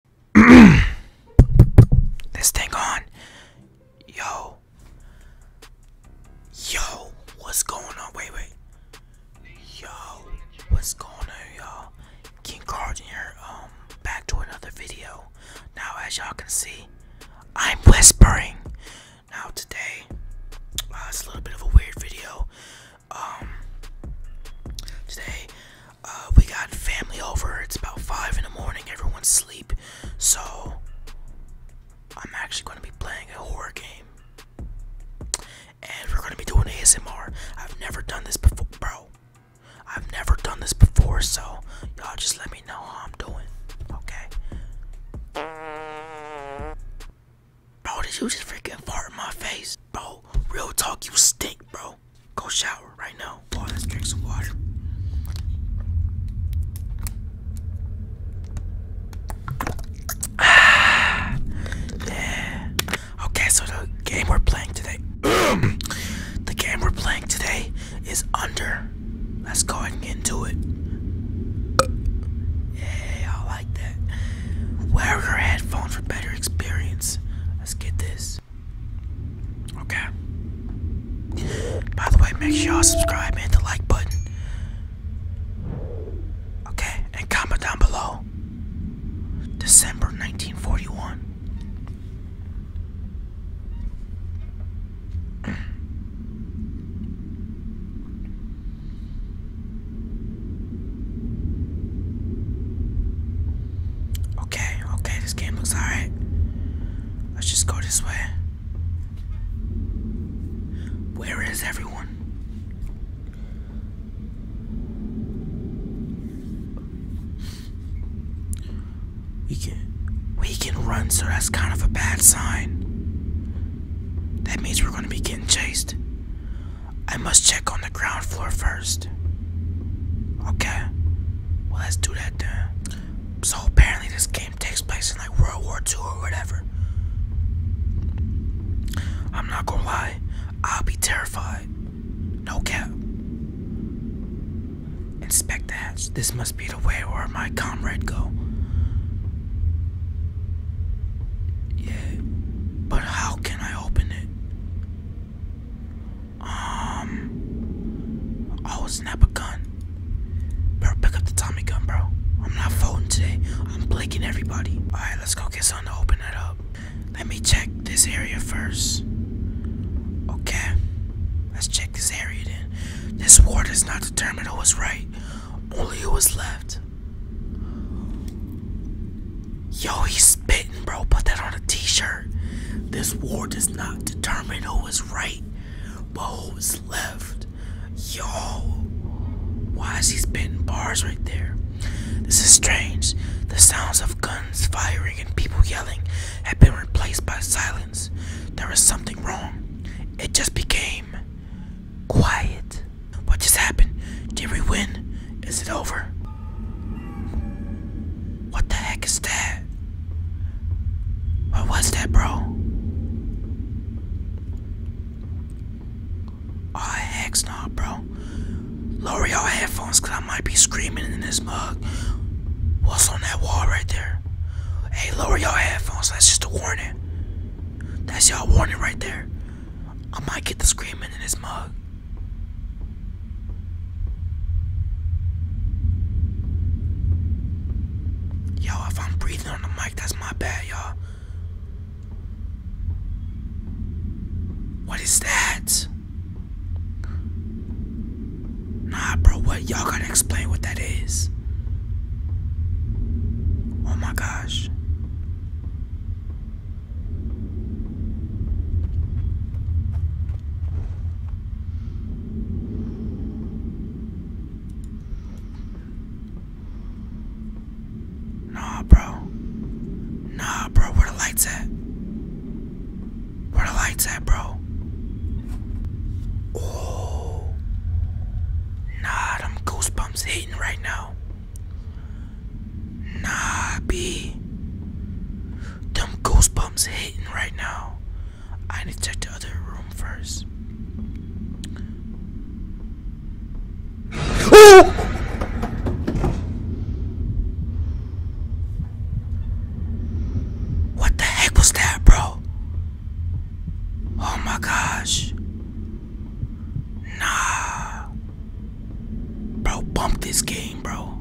this thing on. Yo. Yo, what's going on? Wait, wait. Yo, what's going on, y'all? King Carlton here. Um, back to another video. Now, as y'all can see, I'm whispering. Now, today, uh, it's a little bit of a weird video. Um, today, uh, we got family over. It's about 5 in the morning. Everyone's asleep. So, I'm actually going to be playing a horror game. And we're going to be doing ASMR. I've never done this before, bro. I've never done this before, so y'all just let me know how I'm doing. Okay? Bro, did you just freaking fart in my face? Bro, real talk, you stink, bro. Go shower right now. Boy, let's drink some water. Ah, yeah. Okay, so the game we're playing today. the game we're playing today is under. Let's go ahead and get into it. Yeah, I like that. Wear your headphones for better experience. Let's get this. Okay. By the way, make sure y'all subscribe and hit the like button. Okay, and comment down below. December 1941. Okay, okay, this game looks alright. Let's just go this way. Where is everyone? We can we can run, so that's kind of a bad sign. That means we're gonna be getting chased. I must check on the ground floor first. Okay. Well, let's do that then. So apparently this game takes place in like World War II or whatever. I'm not gonna lie, I'll be terrified. No cap. Inspect the This must be the way where my comrade go. Yeah. But how can I open it? Um, I will snap a gun. Bro, pick up the Tommy gun, bro. I'm not voting today. I'm blinking everybody. All right, let's go get something to open it up. Let me check this area first. Okay, let's check this area then. This war does not determine who was right, only who was left. Yo, he's spitting, bro. Put that on a t shirt. This war does not determine who is right, but who is left. Yo, why is he spitting bars right there? This is strange. The sounds of guns firing and people yelling have been replaced by silence. There is something wrong. It just became Quiet. What just happened? Did we win? Is it over? What the heck is that? What was that, bro? Oh, heck's not, bro. Lower your headphones, cause I might be screaming in this mug. What's on that wall right there? Hey, lower your headphones. That's just a warning. That's y'all warning right there. I might get the screaming in this mug. Yo, if I'm breathing on the mic, that's my bad, y'all. What is that? Nah, bro, what? Y'all gotta explain what that is. Oh my gosh. Nah, bro. Nah, bro, where the lights at? Where the lights at, bro? Oh. Nah, goosebumps hating right now. Nah, B. Them goosebumps hating right now. I need to the other room first. What the heck was that, bro? Oh my gosh. Nah. Bro, bump this game, bro.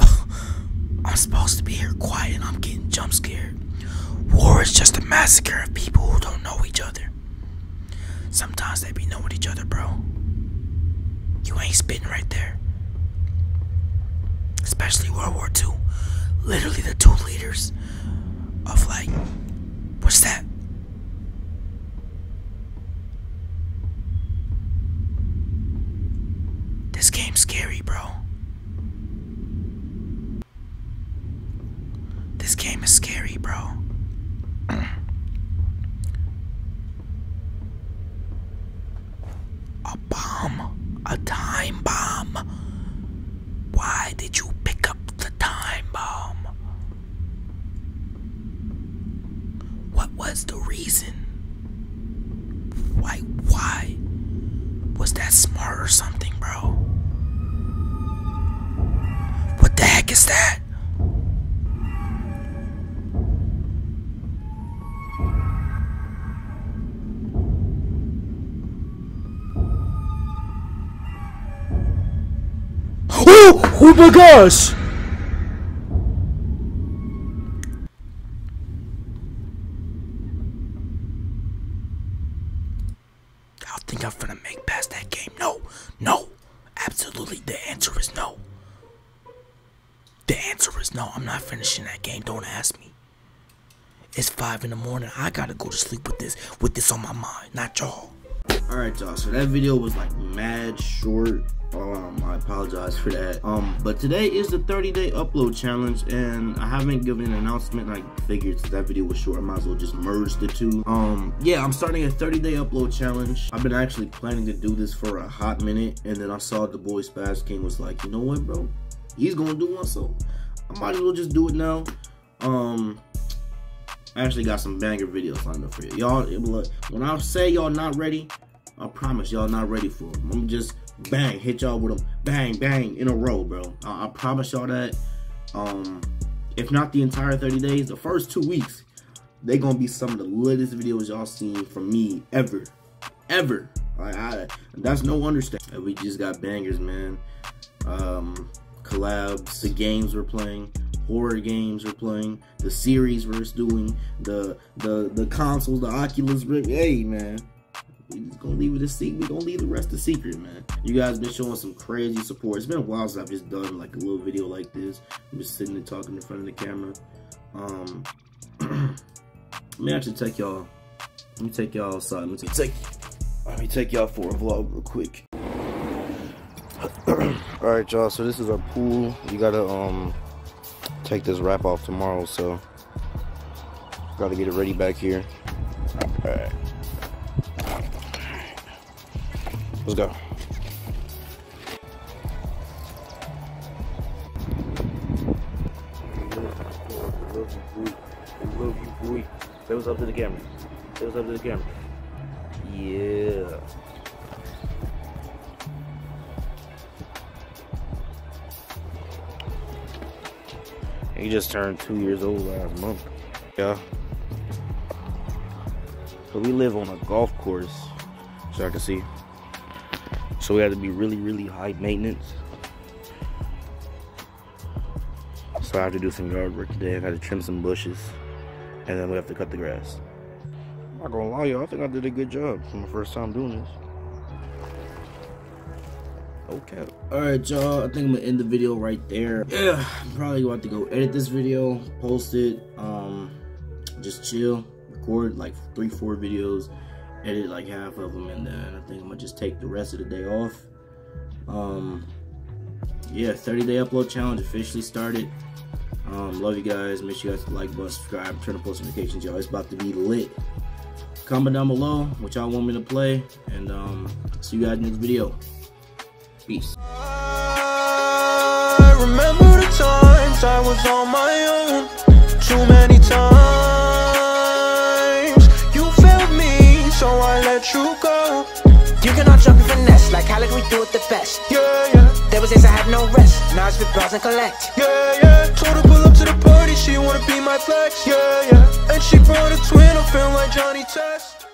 I'm supposed to be here quiet and I'm getting jump scared. War is just a massacre of people who don't know each other. Sometimes they be knowing each other, bro. You ain't right there. Especially World War II. Literally the two leaders of like, what's that? This game's scary, bro. This game is scary, bro. A bomb. A time bomb. Why did you pick up the time bomb? What was the reason? Why? Why? Was that smart or something, bro? What the heck is that? Oh, oh my gosh! I think I'm gonna make past that game. No, no. Absolutely, the answer is no. The answer is no, I'm not finishing that game. Don't ask me. It's five in the morning. I gotta go to sleep with this with this on my mind, not y'all. Alright y'all, so that video was like mad short. Um, I apologize for that. Um, but today is the 30 day upload challenge and I haven't given an announcement. I figured that video was short, I might as well just merge the two. Um, yeah, I'm starting a 30 day upload challenge. I've been actually planning to do this for a hot minute, and then I saw the boy Spaz King was like, you know what, bro? He's gonna do one, so I might as well just do it now. Um, I actually got some banger videos lined up for you. Y'all, look, when I say y'all not ready, I promise y'all not ready for them. I'm just bang, hit y'all with them, bang, bang, in a row, bro. I promise y'all that. Um, if not the entire 30 days, the first two weeks, they gonna be some of the latest videos y'all seen from me ever, ever. I, that's no understatement. We just got bangers, man. Um, collabs, the games we're playing, horror games we're playing, the series we're doing, the the the consoles, the Oculus Rift. Hey, man. We just gonna leave it a secret. We gonna leave the rest a secret, man. You guys been showing some crazy support. It's been a while since I've just done like a little video like this. I'm just sitting and talking in front of the camera. Let me actually take y'all. Let me take y'all outside. Let me take. Let me take y'all for a vlog real quick. All right, y'all. So this is our pool. You gotta um take this wrap off tomorrow, so gotta get it ready back here. All right. Let's go. Say what's up to the camera. Say what's up to the camera. Yeah. He just turned two years old last month. Yeah. So we live on a golf course, so I can see. So we have to be really, really high maintenance. So I have to do some yard work today. I got to trim some bushes, and then we have to cut the grass. I'm not gonna lie, y'all. I think I did a good job for my first time doing this. Okay. Alright, y'all. I think I'm gonna end the video right there. Yeah, probably about to go edit this video, post it, um, just chill, record like three, four videos, edit like half of them, and then I think I'm gonna just take the rest of the day off. Um, yeah, 30 day upload challenge officially started. Um, love you guys. Make sure you guys like button, subscribe, turn on post notifications, y'all. It's about to be lit. Comment down below what y'all want me to play, and um, see you guys next video. Peace. I remember the times I was on my own too many times. You failed me, so I let you go. You cannot jump finesse like how we do it the best. Yeah, yeah. There was I had no rest. Now it's with bras and collect. Yeah, yeah. Told her pull up to the party, she wanna be my flex. Yeah, yeah. And she brought a twin, I feel like Johnny Test.